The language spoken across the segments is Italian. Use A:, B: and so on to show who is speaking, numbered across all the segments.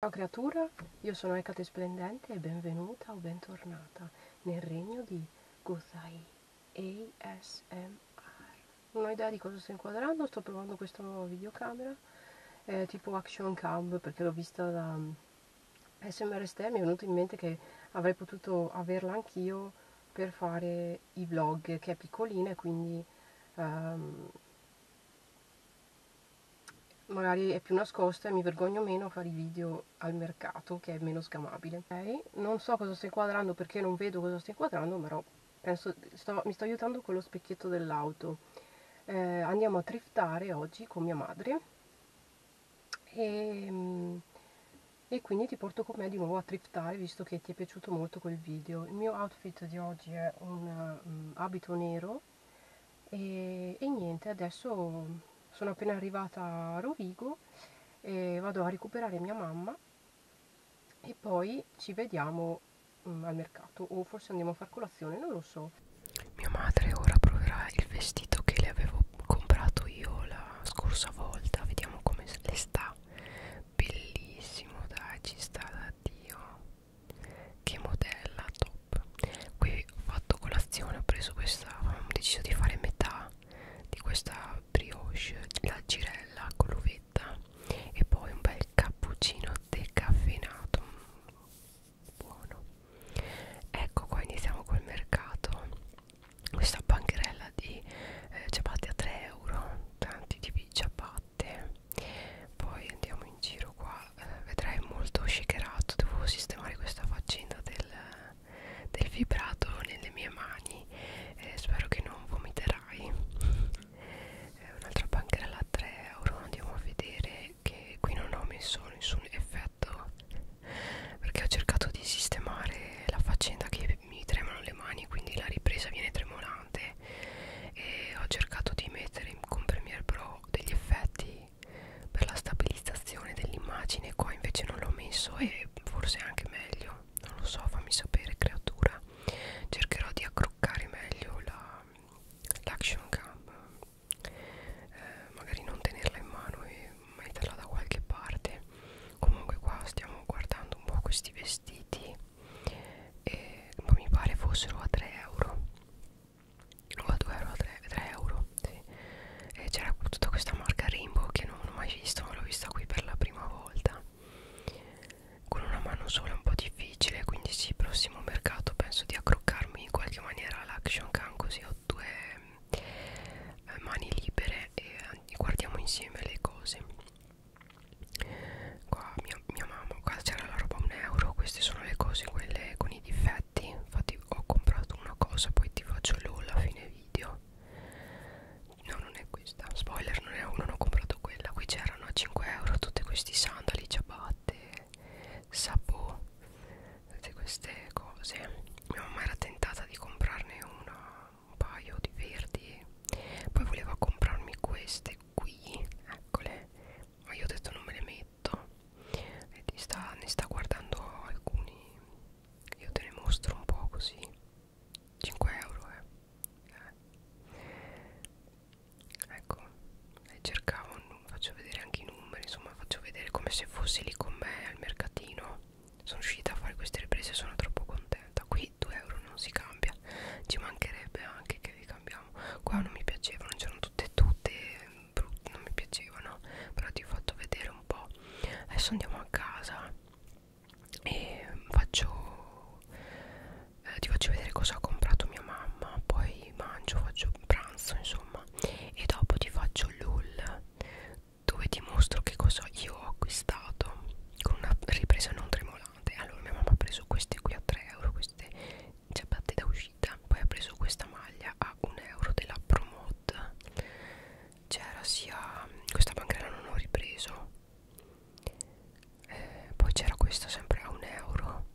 A: Ciao creatura, io sono Ecate Splendente e benvenuta o bentornata nel regno di Gozai ASMR. Non ho idea di cosa sto inquadrando, sto provando questa nuova videocamera eh, tipo Action Cam perché l'ho vista da mm, SMRST e mi è venuto in mente che avrei potuto averla anch'io per fare i vlog che è piccolina e quindi um, magari è più nascosto e mi vergogno meno a fare i video al mercato che è meno scamabile okay? non so cosa sto inquadrando perché non vedo cosa sto inquadrando però penso, sto, mi sto aiutando con lo specchietto dell'auto eh, andiamo a triftare oggi con mia madre e, ehm, e quindi ti porto con me di nuovo a triftare visto che ti è piaciuto molto quel video il mio outfit di oggi è un um, abito nero e, e niente adesso sono appena arrivata a Rovigo e vado a recuperare mia mamma e poi ci vediamo um, al mercato o forse andiamo a far colazione, non lo so. Mia madre ora proverà il vestito che le avevo comprato io la scorsa volta, vediamo come le sta. Bellissimo, dai, ci sta da Dio che modella top qui ho fatto colazione ho preso questa ho deciso di fare metà di questa brioche la girella con l'uvetta e poi un bel cappuccino decaffeinato buono ecco qua iniziamo col mercato questa bancherella di eh, ciabatte a 3 euro tanti tipi di ciabatte latte poi andiamo in giro qua eh, vedrai molto shakerato devo sistemare questa faccenda del, del vibrato nelle mie mani eh, spero che non vomiterai eh, un'altra banchera da 3 euro andiamo a vedere che qui non ho messo nessun effetto perché ho cercato di sistemare la faccenda che mi tremano le mani quindi la ripresa viene tremolante e ho cercato di mettere con Premiere Pro degli effetti per la stabilizzazione dell'immagine qua invece non l'ho messo e forse anche meglio non lo so fammi sapere creatura cercherò di accroccare meglio l'action la, cam eh, magari non tenerla in mano e metterla da qualche parte comunque qua stiamo guardando un po' questi vestiti e, ma mi pare fossero a 3 euro o a 2 euro, a 3, 3 euro sì. e c'era tutta questa marca Rainbow che non ho mai visto ma l'ho vista qui per la prima volta con una mano sola è un po' difficile quindi sì, prossimo mercato penso di accroccarmi in qualche maniera all'action can così ho due eh, mani libere e eh, guardiamo insieme le cose qua mia, mia mamma qua c'era la roba a un euro queste sono le cose quelle con i difetti infatti ho comprato una cosa poi ti faccio l'all a fine video no non è questa spoiler non è uno non ho comprato quella qui c'erano a 5 euro tutti questi sandali ciabatte sapò tutte queste cose mia mamma era tentata di comprarne una un paio di verdi poi voleva comprarmi queste qui eccole ma io ho detto non me le metto e ti sta, ne sta guardando alcuni io te ne mostro un po' così 5 euro eh, eh. ecco e eh, cercavo faccio vedere anche i numeri insomma faccio vedere come se fossi lì con me al mercatino sono riuscita a fare queste riprese sono troppo contenta da qui 2 euro non si cambia ci mancherebbe anche che li cambiamo qua non mi piacevano c'erano tutte e tutte brutte non mi piacevano però ti ho fatto vedere un po' adesso andiamo a casa e faccio eh, ti faccio vedere cosa ha comprato mia mamma poi mangio faccio pranzo insomma e dopo ti faccio l'haul dove ti mostro che cosa io ho acquistato con una ripresa non tremolante cavolate allora mia mamma ha preso queste qui a 3 euro queste ciabatte da uscita poi ha preso questa maglia a 1 euro della Promod c'era sia mm, questa bancarella non ho ripreso eh, poi c'era questa sempre a 1 euro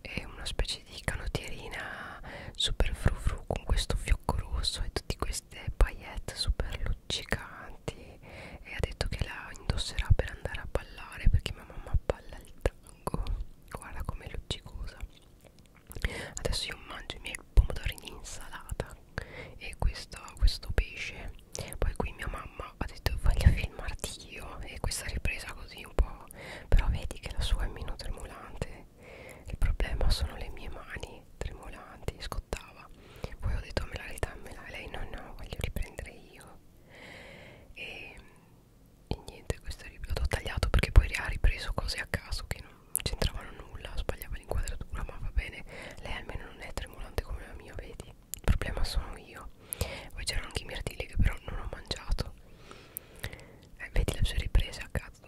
A: e una specie di canottierina super frufru con questo fiocco rosso e tutte queste paillette super luccicanti e ha detto che la indosserà per andare a ballare perché mia mamma balla il tango guarda com'è luccicosa adesso io mangio i miei pomodorini in insalata e questo, questo pesce poi qui mia mamma ha detto voglio filmarti io e questa ripresa così un po' però vedi che la sua è meno tremolante il problema sono le mie mani tremolanti scottava poi ho detto oh, me la ridammela e lei no no voglio riprendere io e, e niente questo l'ho tagliato perché poi ha ripreso cose a caso che non c'entravano nulla sbagliava l'inquadratura ma va bene lei almeno non è tremolante come la mia vedi il problema sono io poi c'erano anche i mirtilli che però non ho mangiato eh, vedi le sue riprese a cazzo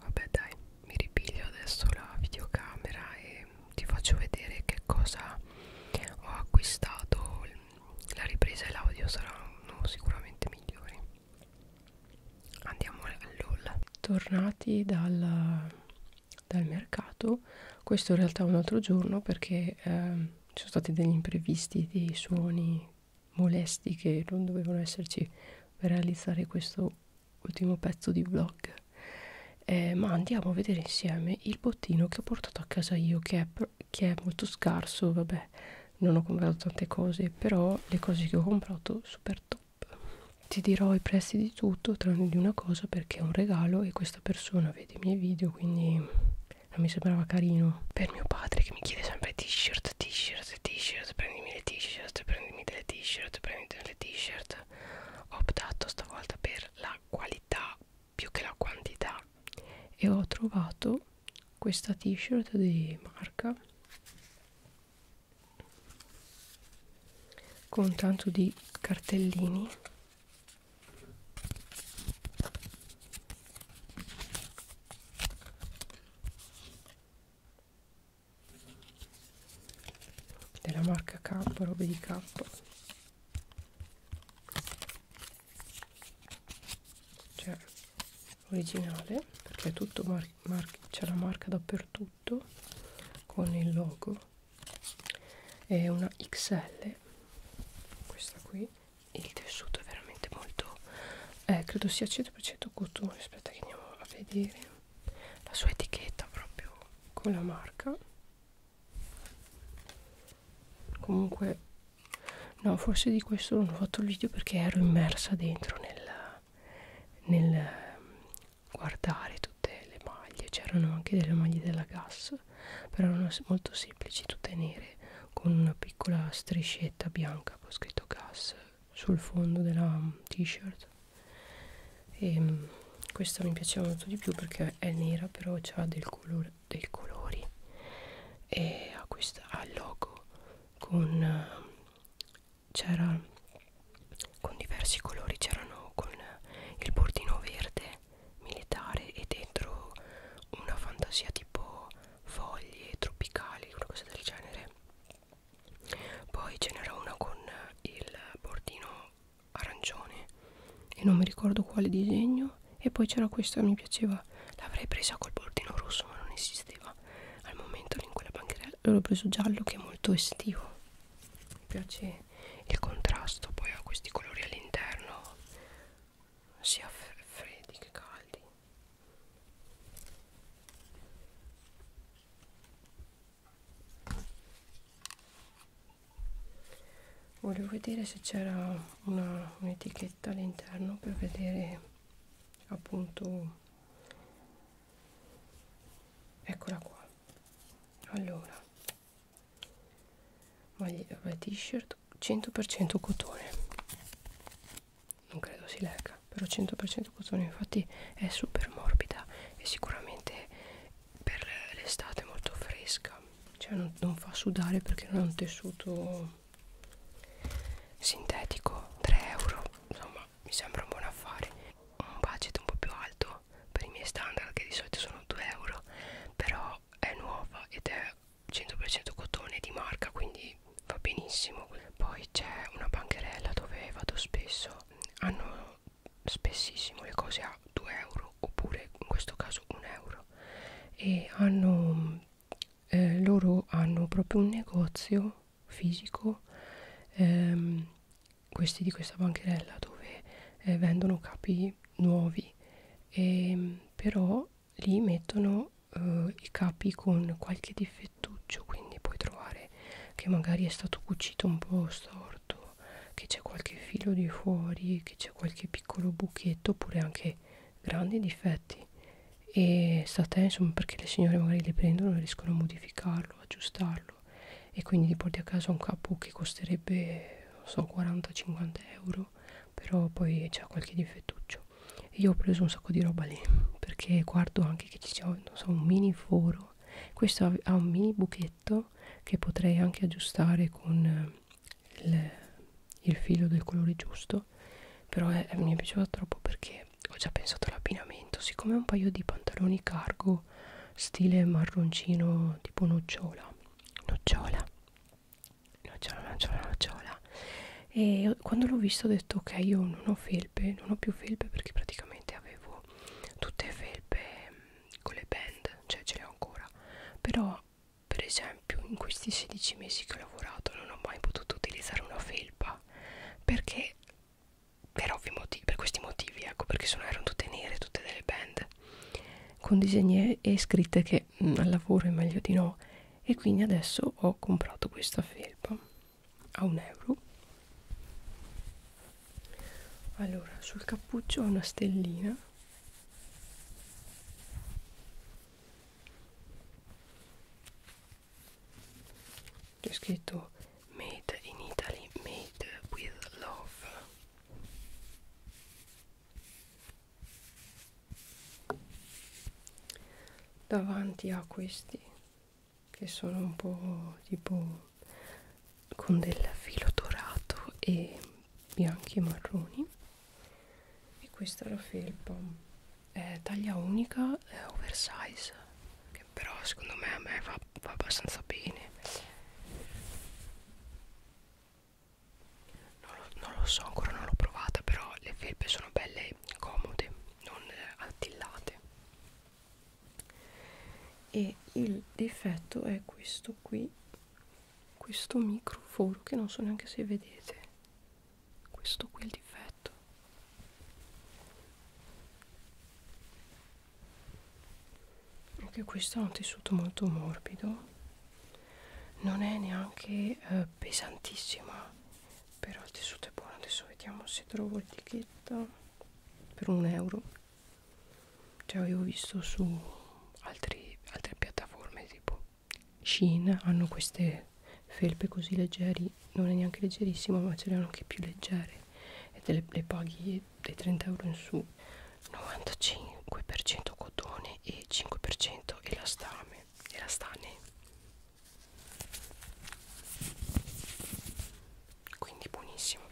A: Vabbè dai, mi ripiglio adesso la videocamera e ti faccio vedere che cosa ho acquistato. La ripresa e l'audio saranno sicuramente migliori. Andiamo all'olla. Tornati dal, dal mercato, questo in realtà è un altro giorno perché eh, ci sono stati degli imprevisti, dei suoni molesti che non dovevano esserci per realizzare questo ultimo pezzo di vlog eh, ma andiamo a vedere insieme il bottino che ho portato a casa io che è, che è molto scarso vabbè non ho comprato tante cose però le cose che ho comprato super top ti dirò i prezzi di tutto tranne di una cosa perché è un regalo e questa persona vede i miei video quindi non mi sembrava carino per mio padre che mi chiede sempre t-shirt t-shirt t-shirt, t-shirt, prendimi le t-shirt, prendimi delle t-shirt, prendimi delle t-shirt. Ho optato stavolta per la qualità più che la quantità e ho trovato questa t-shirt di marca con tanto di cartellini della marca K, robe di K cioè originale perché tutto mar mar c'è la marca dappertutto con il logo è una XL questa qui il tessuto è veramente molto eh, credo sia 100% cotone aspetta che andiamo a vedere la sua etichetta proprio con la marca comunque no forse di questo non ho fatto il video perché ero immersa dentro nel, nel guardare tutte le maglie c'erano anche delle maglie della gas però erano molto semplici tutte nere con una piccola striscetta bianca con scritto gas sul fondo della t-shirt e mm, questa mi piaceva molto di più perché è nera però ha del colore dei colori e ha questa ha il logo con c'era con diversi colori c'erano con il bordino verde militare e dentro una fantasia tipo foglie tropicali una cosa del genere poi ce n'era una con il bordino arancione e non mi ricordo quale disegno e poi c'era questa mi piaceva l'avrei presa col bordino rosso ma non esisteva al momento lì in quella bancherella l'ho preso giallo che è molto estivo mi piace il contrasto poi ha questi colori all'interno sia freddi che caldi volevo vedere se c'era un'etichetta un all'interno per vedere appunto eccola qua allora maglia eh, t-shirt 100% cotone non credo si legga però 100% cotone infatti è super morbida e sicuramente per l'estate è molto fresca cioè non, non fa sudare perché non è un tessuto sintetico 3 euro insomma mi sembra un buon affare un budget un po' più alto per i miei standard che di solito sono 2 euro però è nuova ed è 100% cotone di marca quindi va benissimo poi c'è una bancherella dove vado spesso hanno spessissimo le cose a 2 euro oppure in questo caso 1 euro e hanno eh, loro hanno proprio un negozio fisico ehm, questi di questa bancherella dove eh, vendono capi nuovi e, ehm, però lì mettono uh, i capi con qualche difettuccio quindi puoi trovare che magari è stato cucito un po' storto che c'è qualche filo di fuori che c'è qualche piccolo buchetto oppure anche grandi difetti e state insomma perché le signore magari le prendono e riescono a modificarlo aggiustarlo e quindi ti porti a casa un capo che costerebbe non so 40-50 euro però poi c'è qualche difettuccio io ho preso un sacco di roba lì perché guardo anche che ci sia non so, un mini foro questo ha un mini buchetto che potrei anche aggiustare con eh, il, il filo del colore giusto però è, mi è piaciuto troppo perché ho già pensato all'abbinamento siccome ho un paio di pantaloni cargo stile marroncino tipo nocciola nocciola nocciola nocciola nocciola e quando l'ho visto ho detto ok io non ho felpe non ho più felpe perché praticamente avevo tutte felpe mm, con le band cioè ce le ho ancora però per esempio in questi 16 mesi che ho lavorato non ho mai potuto utilizzare una felpa perché per ovvi motivi per questi motivi ecco perché sono erano tutte nere tutte delle band con disegni e scritte che perché mm, mh, al lavoro è meglio di no e quindi adesso ho comprato questa felpa a un euro allora sul cappuccio ho una stellina c'è scritto made in Italy made with love davanti a questi che sono un po' tipo con del filo dorato e bianchi e marroni e questa è la felpa è taglia unica è oversize che però secondo me a me va, va abbastanza bene non lo, non lo so ancora non l'ho provata però le felpe sono belle comode non eh, attillate e il difetto è questo qui questo microforo che non so neanche se vedete questo qui è il difetto anche questo è un tessuto molto morbido non è neanche eh, pesantissima però il tessuto è buono adesso vediamo se trovo l'etichetta per un euro cioè avevo visto su altri, altre piattaforme tipo Shein hanno queste felpe così leggeri non è neanche leggerissima ma ce le hanno anche più leggere e te le, le paghi dai 30 euro in su 95% cotone e 5% elastame elastane quindi buonissimo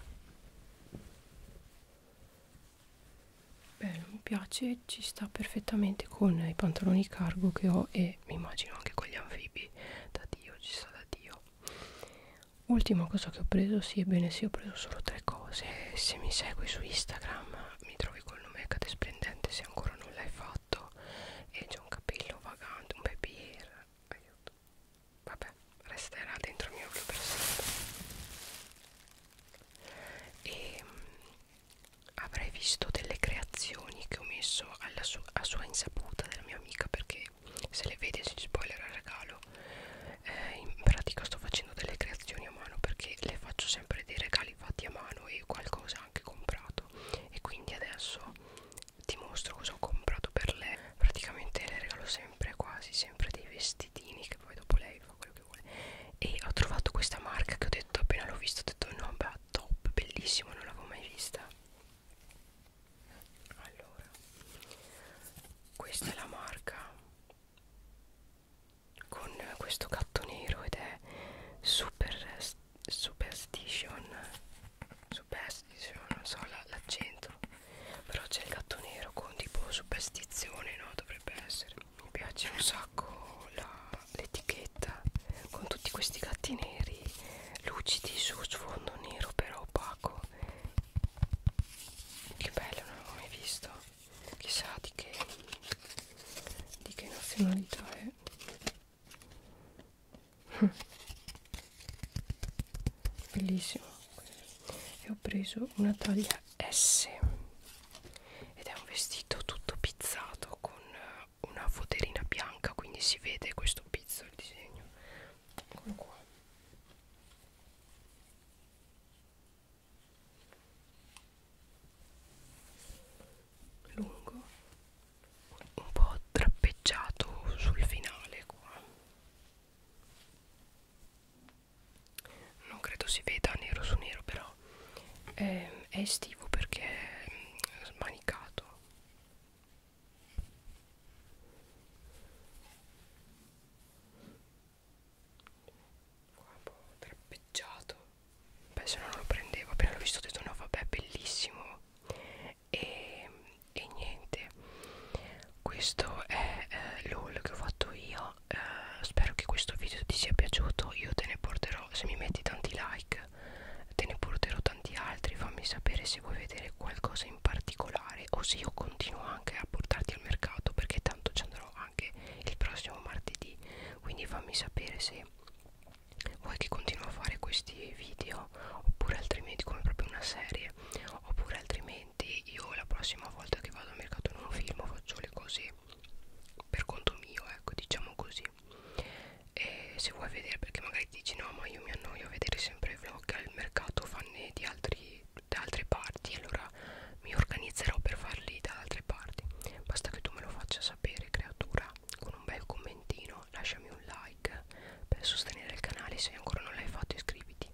A: bello mi piace ci sta perfettamente con i pantaloni cargo che ho e mi immagino anche con gli anfibi da dio ci sta da dio ultima cosa che ho preso sì ebbene sì ho preso solo tre cose se mi segui su instagram mi trovi col nome cade splendente se ancora non l'hai fatto e c'è un capello vagante un baby hair aiuto vabbè resterà dentro il mio occhio per sempre e mm, avrei visto delle creazioni che ho messo alla su a sua insaputa della mia amica perché se le vede si spoilerà il regalo eh, in pratica sto facendo delle creazioni a mano perché le faccio sempre dei regali fatti a mano e qualcosa anche comprato e quindi adesso ti mostro cosa ho comprato per lei praticamente le regalo sempre quasi sempre dei vestitini che poi dopo lei fa quello che vuole e ho trovato questa marca che ho detto appena l'ho vista ho detto no beh top bellissimo non l'avevo mai vista allora questa è la marca con questo gatto nero ed è super superstition superstition non so l'accento però c'è il gatto nero con tipo superstizione no dovrebbe essere mi piace un sacco l'etichetta con tutti questi gatti neri lucidi su sfondo nero però opaco che bello non l'avevo mai visto chissà di che, di che nazionalità è bellissimo e ho preso una taglia S ed è un vestito tutto pizzato con eh, una foderina bianca quindi si vede questo pizzo il disegno eccolo qua lungo un po' trappeggiato sul finale qua non credo si veda nero su nero però è, ehm, è estivo perché è mm, smanicato qua un po' trappeggiato beh se no non lo prendevo appena l'ho visto ho detto no vabbè bellissimo e, e niente questo è eh, l'haul che ho fatto io eh, spero che questo video ti sia piaciuto io te ne porterò se mi metti tanti like te ne porterò tanti altri fammi sapere se vuoi vedere qualcosa in in particolare o se io continuo anche a portarti al mercato perché tanto ci andrò anche il prossimo martedì quindi fammi sapere se vuoi che continuo a fare questi video oppure altrimenti come proprio una serie oppure altrimenti io la prossima volta che vado al mercato non filmo faccio le cose per conto mio ecco diciamo così e se vuoi vedere perché magari dici no ma io mi annoio a vedere sempre vlog al mercato fanno di altri da altre parti allora mi organizzerò per farli da altre parti basta che tu me lo faccia sapere creatura con un bel commentino lasciami un like per sostenere il canale se ancora non l'hai fatto iscriviti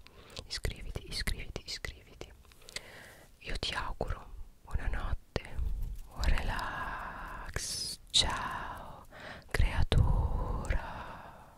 A: iscriviti iscriviti iscriviti io ti auguro buonanotte buon relax ciao creatura